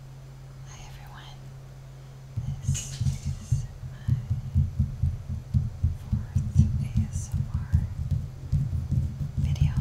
Hi everyone, this is my fourth ASMR video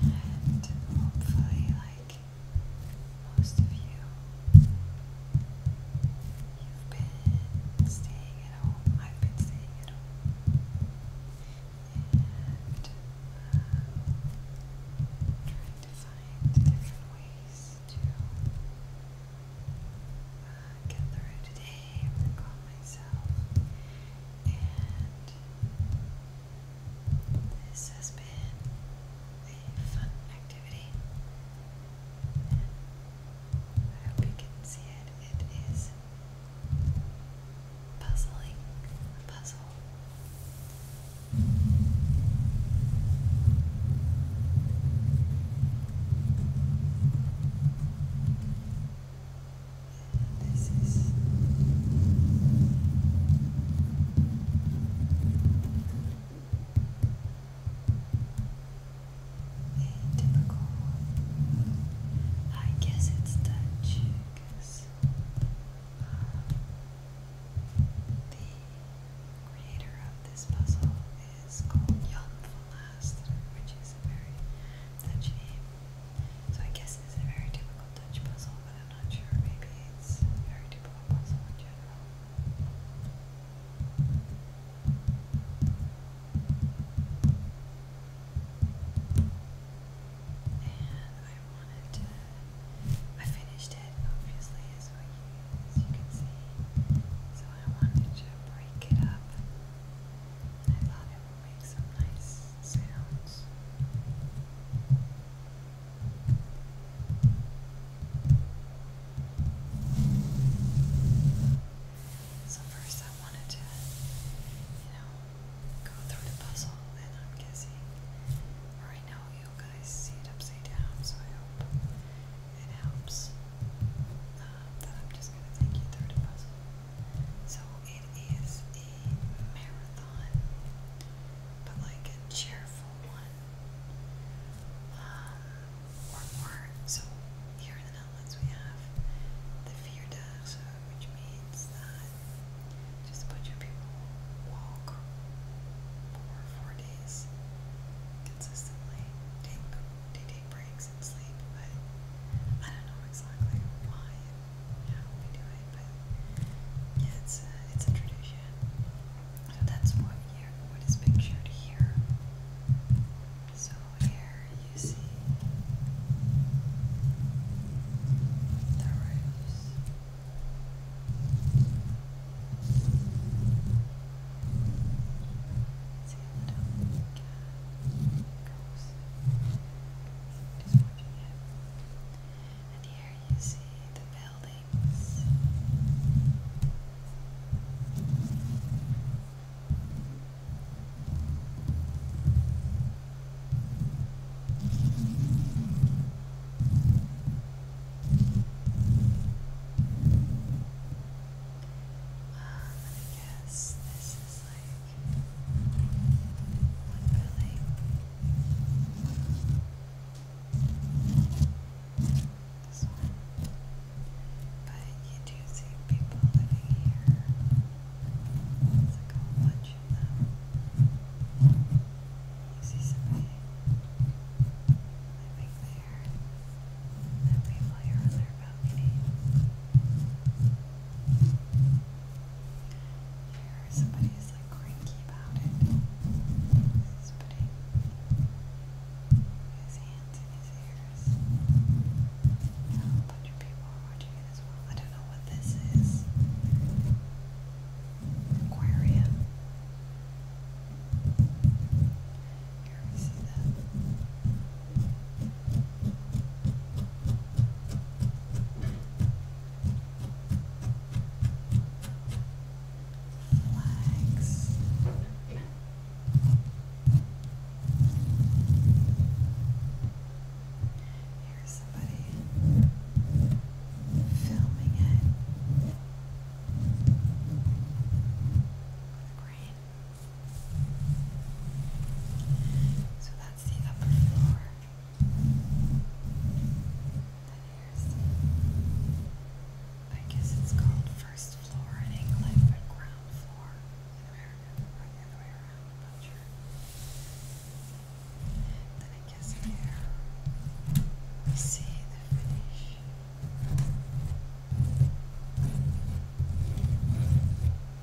and hopefully like most of you, you've been staying at home, I've been staying at home and uh, to find different ways to uh, get through today and calm myself. And this has been a fun activity. I hope you can see it. It is puzzling, puzzle. This is a typical one. I guess it's Dutch the creator of this puzzle is called Jan which is a very Dutch name. So I guess it's a very typical Dutch puzzle, but I'm not sure. Maybe it's a very typical puzzle in general. I wanted to. I finished it, obviously, as, you can see. So I wanted to break it up. And I thought it would make some nice sounds. So first I wanted to, you know, go through the puzzle and I'm guessing right now you see it upside down, so I hope it helps. that um, I'm just going to take you through the puzzle. So it is a marathon, but like a cheerful one. Um, more. So here in the Netherlands we have the Vierdaagse, which means that not. Just a bunch of people walk for four days consistently. Take, they take breaks and sleep, but I don't know exactly why we do it, but yeah, it's it's a tradition. that's what what is pictured here. So here you see the roofs. See how the dog goes. He's watching it. And here you see the buildings. I guess this is like one This one. But you do see people living here. It's like a bunch you see something living there that people here on their balcony. Here, somebody like cranky about it. He's putting his hands in his ears. A bunch of people are watching it as well. I don't know what this is aquarium. Here we see that. Flags hear somebody filming it. Great. So that's the upper floor. And I guess it's called first floor in England, but ground floor in America, or the around, I'm then I guess here we see the finish. Many here we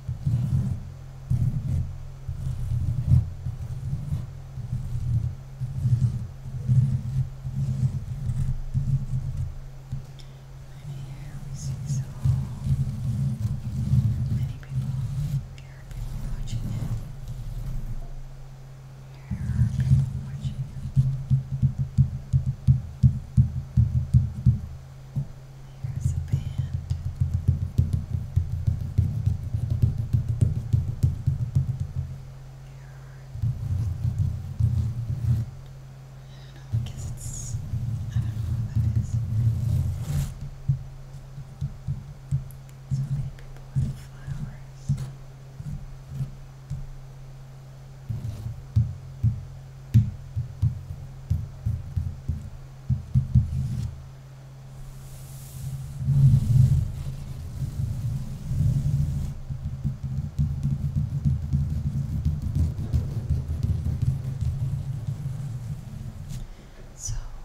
see so many people, there are people watching it. There are people watching. There's a band. I don't know, I it's, I don't know what that is. So many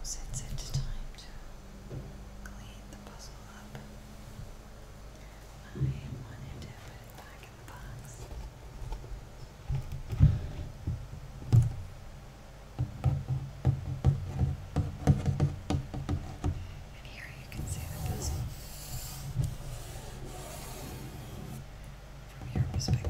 since it's time to clean the puzzle up. I wanted to put it back in the box. And here you can see the puzzle. From your perspective.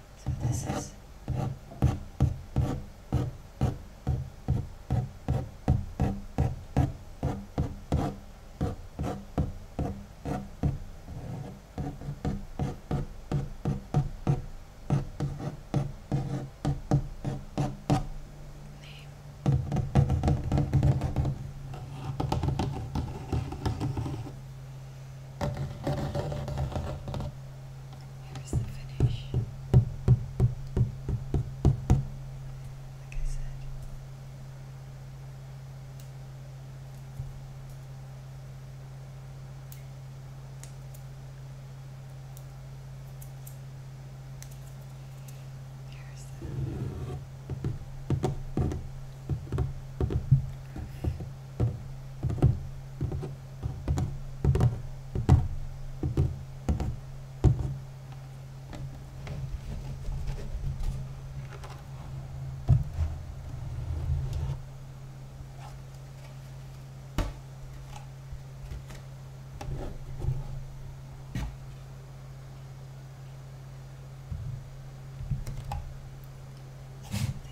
So this is Here's the finish. Like I said. Here's the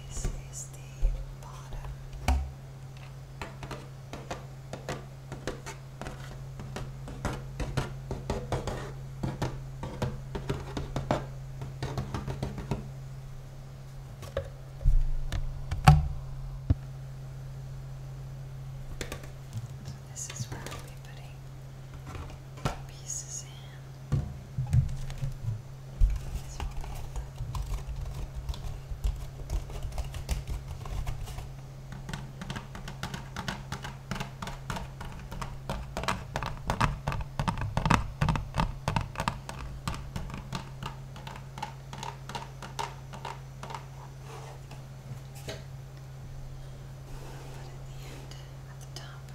this is the bottom so this is where I'll be putting pieces in. This will be at the but at the end, at the top.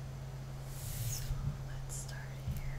So let's start here.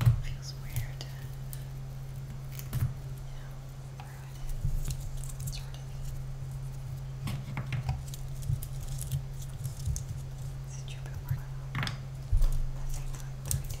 It feels weird to, you know, where it is, sort since you've been working on nothing like three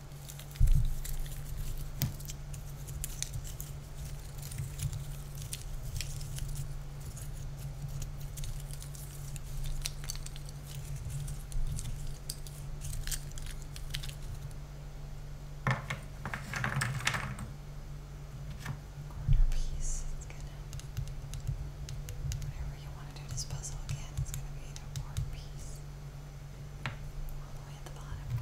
Corner piece. It's gonna. Whenever you want to do this puzzle again, it's gonna be a work piece all the way at the bottom.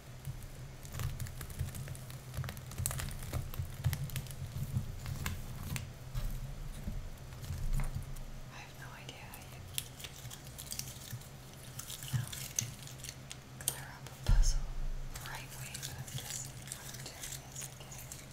I have no idea how you clear up a puzzle right way, but I'm guessing doing is okay.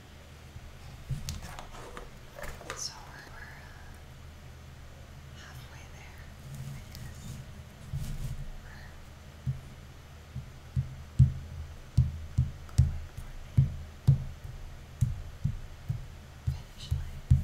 So we're, we're uh, halfway there, I guess. We're going for the finish line. We're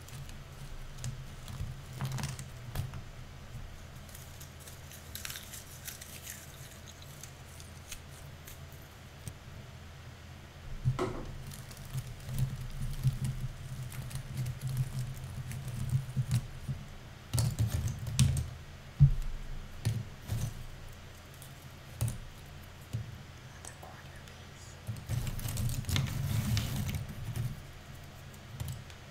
Another corner piece.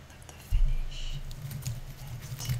end of the finish that our almost finished.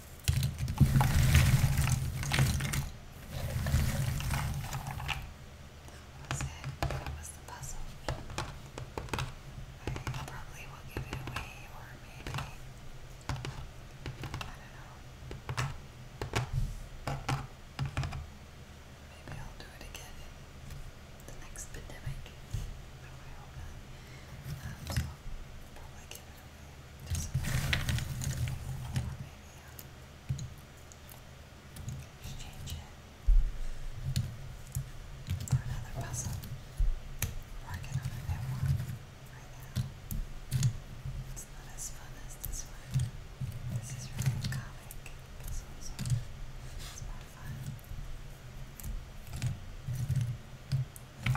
that was it. That was the puzzle. I probably will give it away, or maybe. I don't know. Maybe I'll do it again the next pandemic. No, I hope not. Um, so i probably give it Exchange it for another puzzle. Working on a new one right now. It's not as fun as this one. This is really comic puzzles. It's more fun. The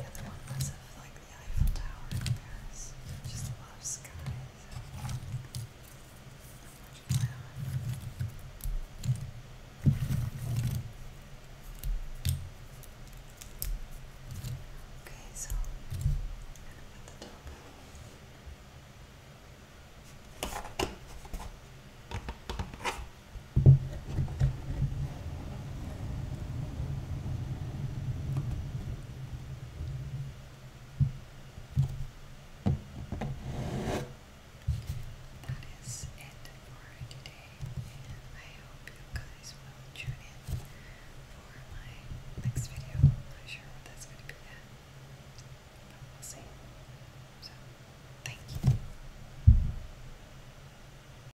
other one was of like the Eiffel Tower in Paris. Just a lot of sky. Okay, so that is it for today, and I hope you guys will tune in for my next video. not sure what that's going to be yet, but we'll see. So, thank you.